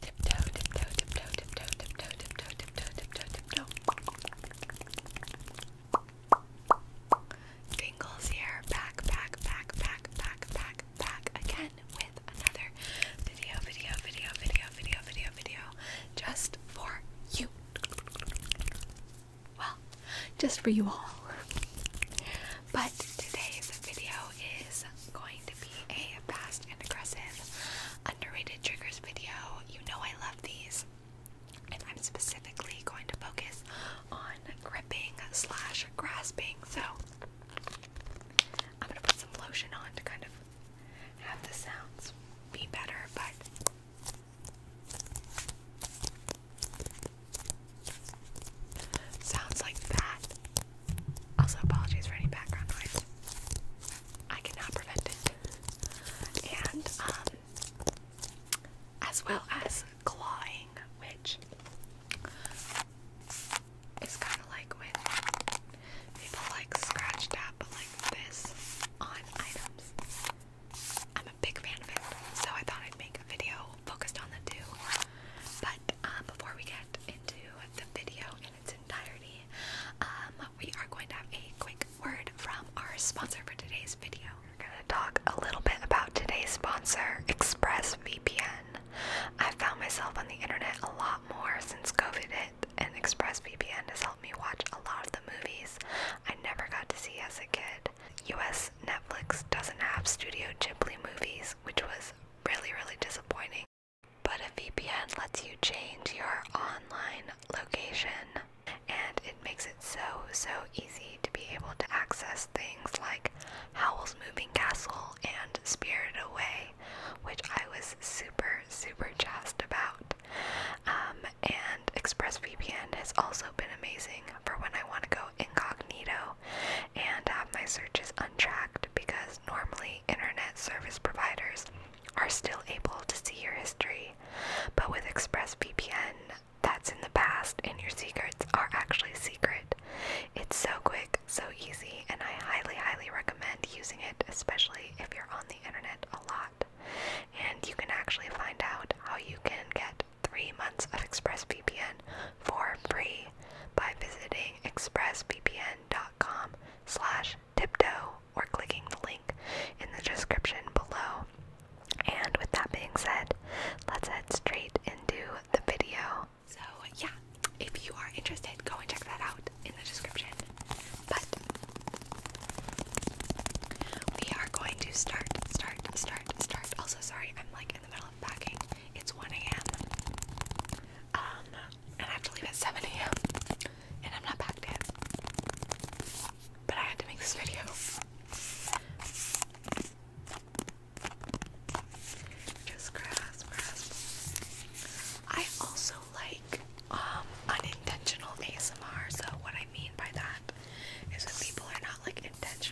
Tiptoe, tiptoe, tiptoe, tiptoe, tiptoe, tiptoe, tiptoe, tiptoe, tiptoe. Tingles here, back, back, back, back, back, back, back again with another video, video, video, video, video, video, video, just for you. Well, just for you all. But today's video is going to be a fast and aggressive, underrated triggers video. You know I love these, and I'm specifically going to focus on gripping slash grasping. So I'm gonna put some lotion on to kind of have the sounds be better, but. Sounds like that. Also, apologies for any background noise. I cannot prevent it. And, um, as well as clawing, which is kind of like when people like scratch tap like this on items. I'm a big fan of it, so I thought I'd make a video focused on the two. But uh, before we get into the video in its entirety, um, we are going to have a quick word from our sponsor for today's video. We're going to talk a little bit about today's sponsor, ExpressVPN. i found myself on the internet a lot more since COVID and ExpressVPN has helped me watch a lot of the movies I never got to see as a kid. US Netflix doesn't have Studio Ghibli movies, which was really, really disappointing. But a VPN lets you change your online location and it makes it so, so easy to be able to access things like Howl's Moving Castle and Spirit Away, which I was super, super jazzed about. Um, and ExpressVPN has also been amazing for when I want to go incognito and have my searches untracked because normally internet service providers are still able to see your history, but with ExpressVPN, that's in the past and your secrets are actually secret. It's so quick, so easy, and I highly, highly recommend using it, especially if you're on the internet a lot. And you can actually find out how you can get three months of ExpressVPN for free by visiting expressvpn.com slash tiptoe or clicking the link in the description below. And with that being said, let's head straight into the video. So yeah, if you are interested, go and check that out in the description. But we are going to start, start, start, start. Also sorry, I'm like in the middle packing. It's 1 a.m. Um, and I have to leave at 7 a.m. And I'm not packed yet. But I had to make this video. Just grass, grass. I also like um, unintentional ASMR. So what I mean by that is when people are not like intentional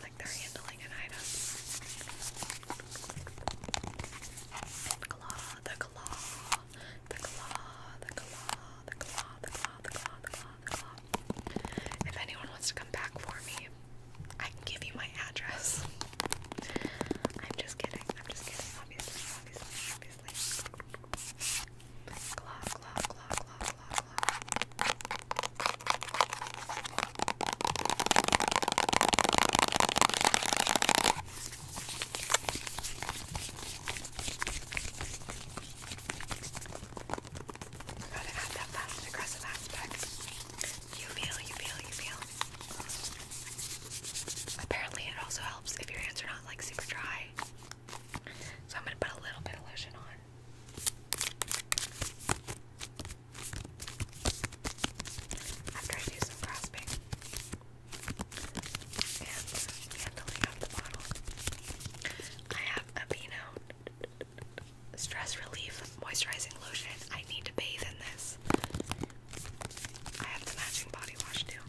like they're handling an item. And claw, the claw, the claw, the claw, the claw, the claw, the claw, the claw, claw. If anyone wants to come back for me, I can give you my address. I'm just kidding. I'm just kidding. Obviously, obviously, obviously. Claw, claw, claw, claw, I'm about to add that fast and aggressive aspect. You feel, you feel, you feel. Apparently, it also helps if your hands are not like super dry. So I'm gonna put a little bit of lotion on. After I do some grasping and handling out the bottle, I have a Beano Stress Relief Moisturizing Lotion. I need to bathe in this. I have the matching body wash too.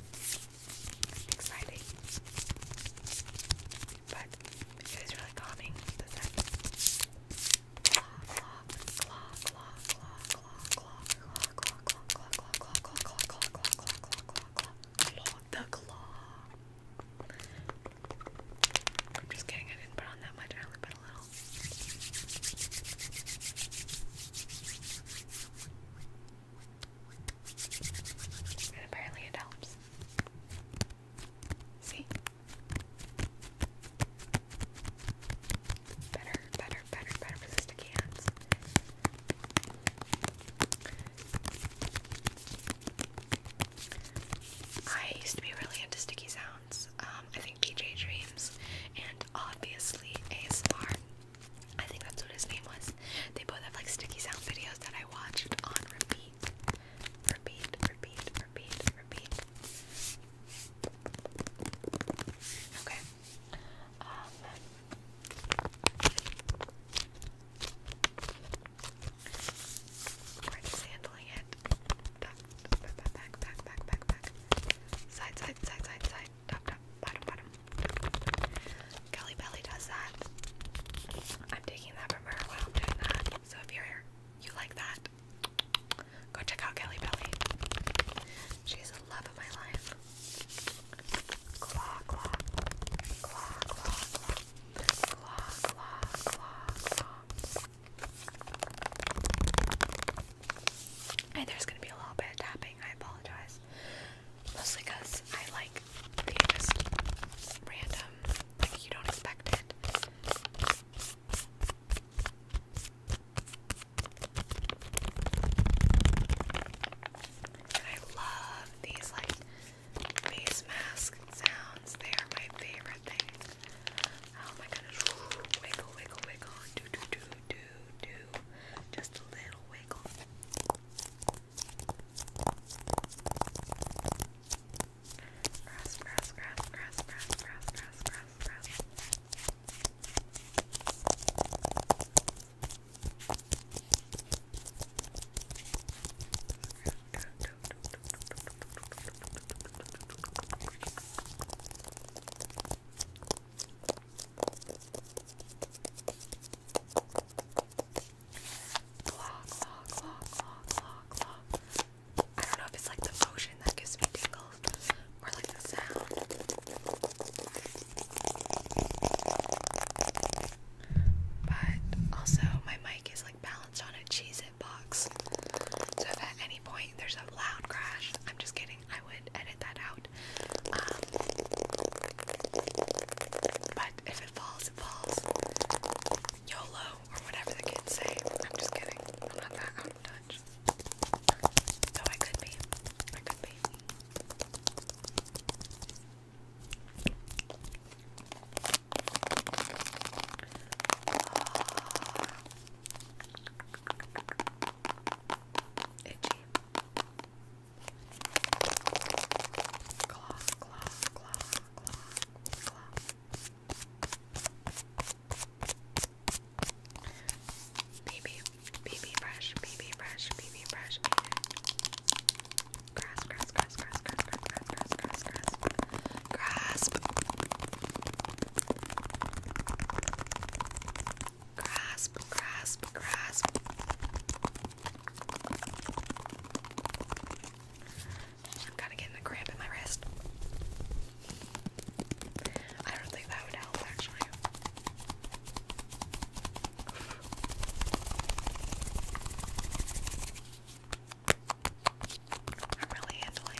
Exciting but it was really calming, the scent. Claw, claw, claw, claw, claw, claw, claw, claw, claw, claw, claw, claw, claw, claw, claw, claw, claw, claw, claw, the claw. I'm just kidding, I didn't on that much, I only put a little. And apparently it helps. See? Better, better, better, better for the sticky I used to be really into sticky sounds. Um, I think DJ Dreams and obviously ASMR. I think that's what his name was. They both have like sticky sound videos that I watched on repeat. Repeat, repeat, repeat, repeat. Okay. Um, we handling it. Back, back, back, back, back, back, back. Side, side, side, side, side. Top, top, bottom, bottom. Kelly Belly does that. I'm taking that from her while I'm doing that. So if you're here, you like that, go check out Kelly Belly. She's a love of my life. And there's gonna be a little bit of tapping. I apologize, mostly because I like they just random, like you don't expect it. I love these like face mask sounds. They are my favorite thing. Oh my goodness. Wiggle, wiggle, wiggle. Do, do, do, do, do. Just a little wiggle. Grass, grass, grass, grass, grass, grass, grass, grass, grass. Grass, I don't know if it's like the motion that gives me tingles or like the sound. But also, my mic is like balanced on a Cheez So if at any point there's a loud crash, I'm just kidding, I would edit that out. Um, but if it falls, it falls. YOLO, or whatever the kids say. I'm just kidding. I'm not out of touch. Though I could be. I could be. Ah. itchy. Claw, claw, claw, claw, claw. BB, BB brush, BB brush, BB brush. Grass, grass, grass, grass, grass, grass, grass, grass, grass, grass. Grasp. Grasp, grasp, grasp. I'm kind of getting a cramp in my wrist. I don't think that would help actually. I'm really handling.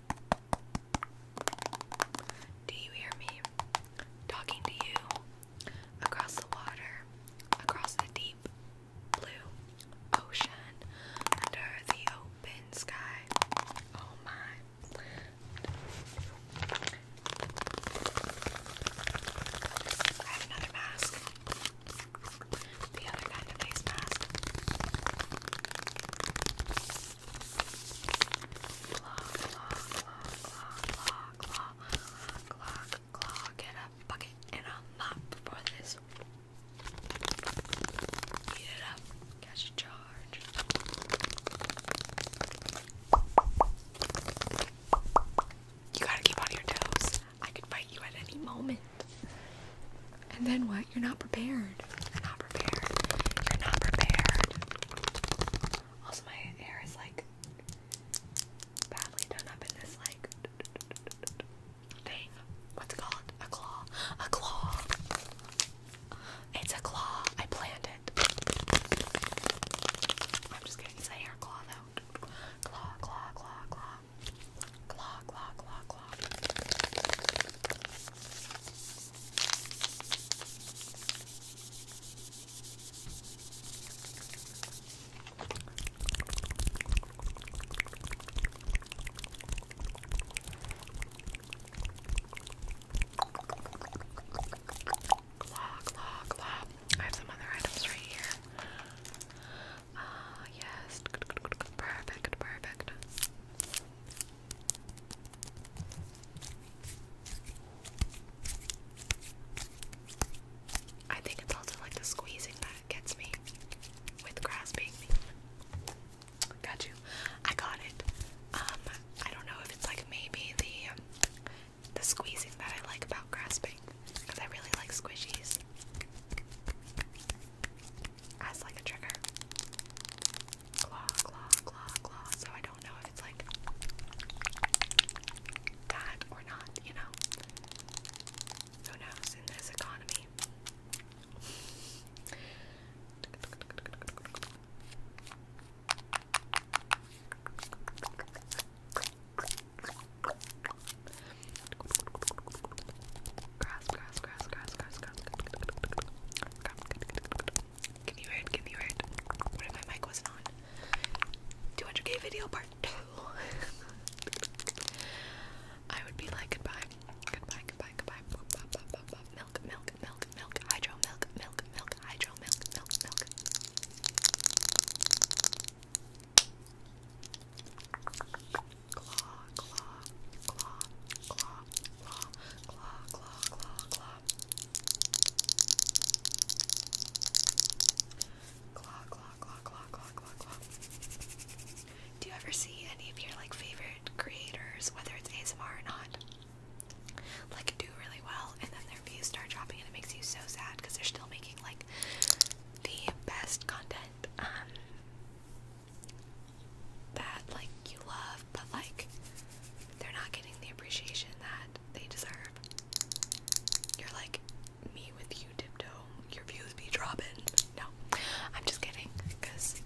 Do you hear me talking to you across the water, across the deep blue ocean, under the open sky? Oh my. I have another mask. The other kind of face mask. Claw, claw, claw, claw, claw, claw, claw, claw. Get a bucket and a for this. Eat it up. Catch a charge. You gotta keep on your toes. I could fight you at any moment. And then what? You're not prepared. You're not prepared. You're not prepared. Also, my hair is like badly done up in this like thing. What's it called? A claw. A claw. It's a claw. I planned it. I'm just kidding. It's hair claw though. Claw, claw, claw, claw. Claw, claw, claw, claw. Claw, claw, claw. I have some other items right here. Ah, yes. Perfect, perfect. I think it's also like the squeezing that gets me with grasping. Got you. I got it. Um, I don't know if it's like maybe the the squeezing that I like about grasping because I really like squishies as like a trigger. Claw, claw, claw, claw. So I don't know if it's like that or not, you know? Who knows in this economy? Grass, grass, grass, grass, grass, grass. Can you hear it? Can you hear it? What if my mic wasn't on? 200k video part 2. I would be like, goodbye, goodbye, goodbye, goodbye. Boop, bop, bop, bop, bop. Milk, milk, milk, milk, hydro, milk, milk, milk, hydro, milk, milk, milk claw, claw, claw, claw, claw, claw, claw, claw, claw. Claw, claw, claw, claw, claw, claw, claw. Do you ever see any of your like favorite creators, whether it's ASMR or not, like do really well and then their views start dropping and it makes you so sad because they're still making like the best content. Um that like you love, but like they're not getting the appreciation that they deserve. You're like me with you tiptoe. Your views be dropping. No, I'm just kidding. Cause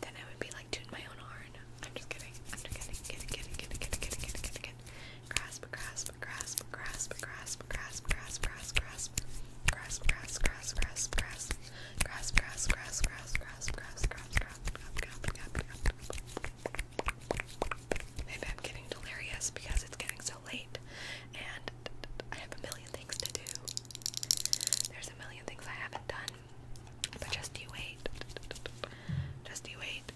then I would be like tooting my own horn. I'm just kidding. I'm just kidding. Kidding. Kidding. Kidding. Kidding. Kidding. Kidding. Kidding. Grasp. Grasp. Grasp. Grasp. Grasp. Grasp. Grasp. Grasp. Grasp grasp, grasp, grasp, grasp, grasp, grasp, grasp, grasp, grasp, grasp, grasp, grasp, grasp, grasp, Maybe I'm getting delirious because it's getting so late and I have a million things to do. There's a million things I haven't done. But just you wait. Just you wait.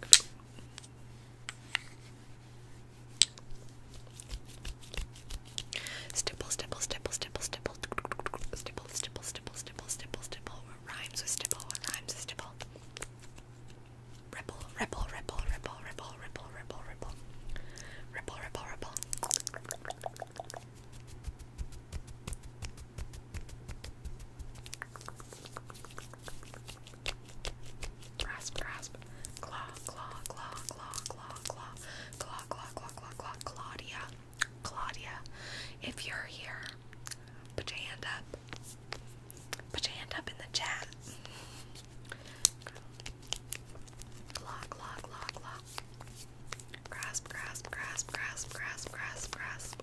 Stipple, stipple, stipple, stipple, stipple, stipple, stipple, stipple, stipple, stipple, stipple. What rhymes with stipple? What rhymes with stipple? Ripple, ripple, ripple, ripple, ripple, ripple, ripple, ripple, ripple, ripple, ripple. Grasp, grasp, Claw, claw, claw, claw, claw, claw, claw, claw, claw, claw, claw, Claudia. Claudia, if you're here, put your hand up. Put your hand up in the chat. Claw, claw, claw, claw. Grasp, grasp, grasp, grasp, grasp, grasp, grasp.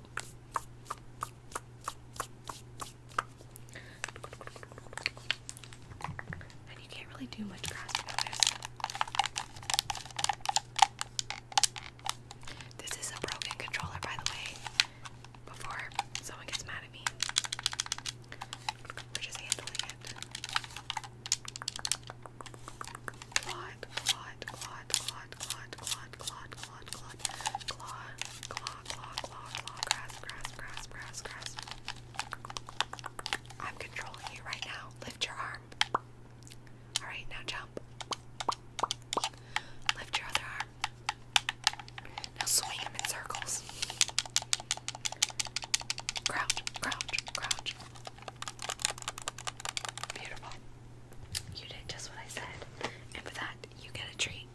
And you can't really do much grasping on this. This is a broken controller, by the way, before someone gets mad at me. We're just handling it. Clawed, clawed, clawed, clawed, clawed, clawed, clawed, clawed, clawed, claw, claw, claw, claw, claw, grasp, grasp, grasp, grasp, grasp. I'm controlling you right now. Lift your arm. Alright, now jump. Lift your other arm. Now swing him in circles. Crouch, crouch, crouch. Beautiful. You did just what I said. And for that, you get a treat.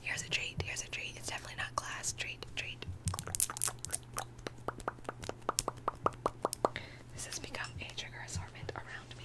Here's a treat, here's a treat. It's definitely not glass. Treat, treat. This has become a trigger assortment around me.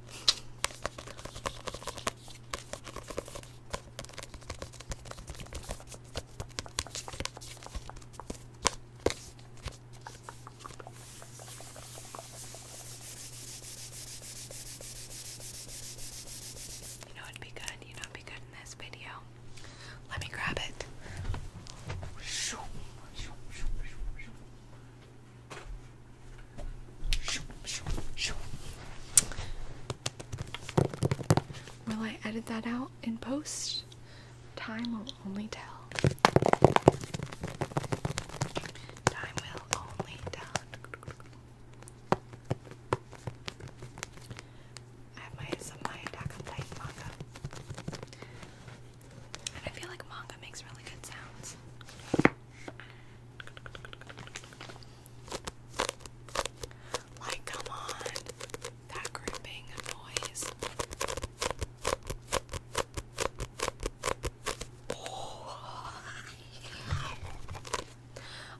You know it'd be good. You know it'd be good in this video. Let me grab it. Will I edit that out in post? Time will only tell. Time will only tell. I have my some my Attack on manga, I feel like manga makes really good sounds. Like, come on. That grouping noise. Oh.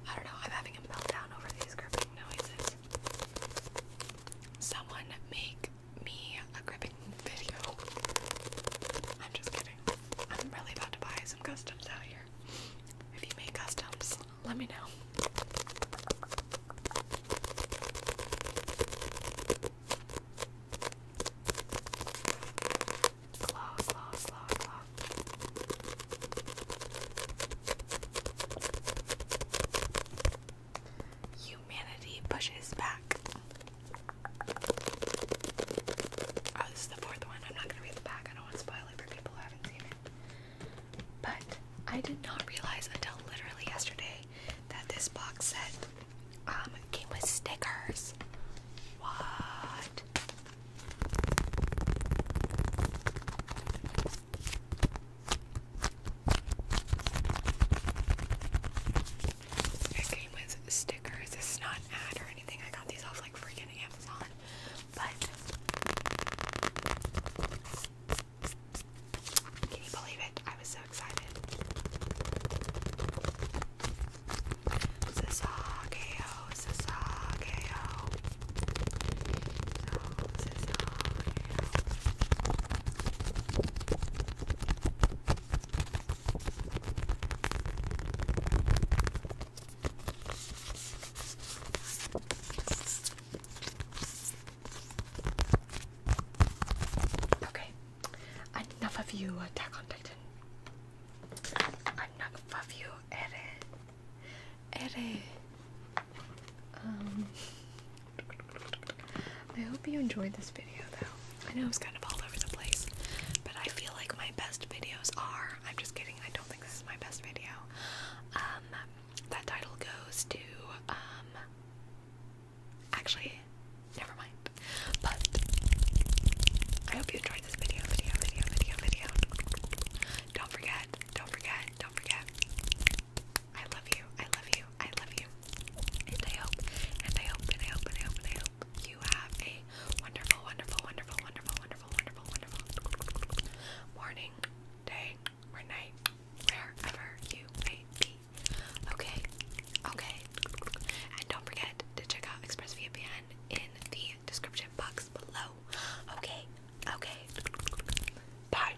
I don't know, I'm having a meltdown over these gripping noises. Someone make me a gripping I'm just kidding. I'm really about to buy some customs out here. If you make customs, let me know. Slow, slow, slow, slow. Humanity pushes back. Oh, this is the fourth one. I'm not gonna read the back. I don't want to spoil it for people who haven't seen it. But I did not realize until literally yesterday that this box set um, came with stickers. What? It came with stickers. This is not an ad or anything. I got these off like freaking Amazon. But can you believe it? I was so excited. Sasageo, Sasageo. Okay, enough of you, Attack on Titan. Enough of you, Ere. Ere. Um. I hope you enjoyed this video though. I know it was kind of all over the place, but I feel like my best videos are. I'm just kidding, I don't think this is my best video. Um, that title goes to, um, actually, never mind. But, I hope you enjoyed this video, video, video, video, video. Don't forget, don't forget, don't forget. I love you, I love you, I love you. And I hope, and I hope, and I hope, and I hope, and I hope you have a wonderful, wonderful, wonderful, wonderful, wonderful, wonderful, wonderful morning, day, or night, wherever you may be. Okay? Okay. And don't forget to check out ExpressVPN in the description box below. Okay? Okay. Bye.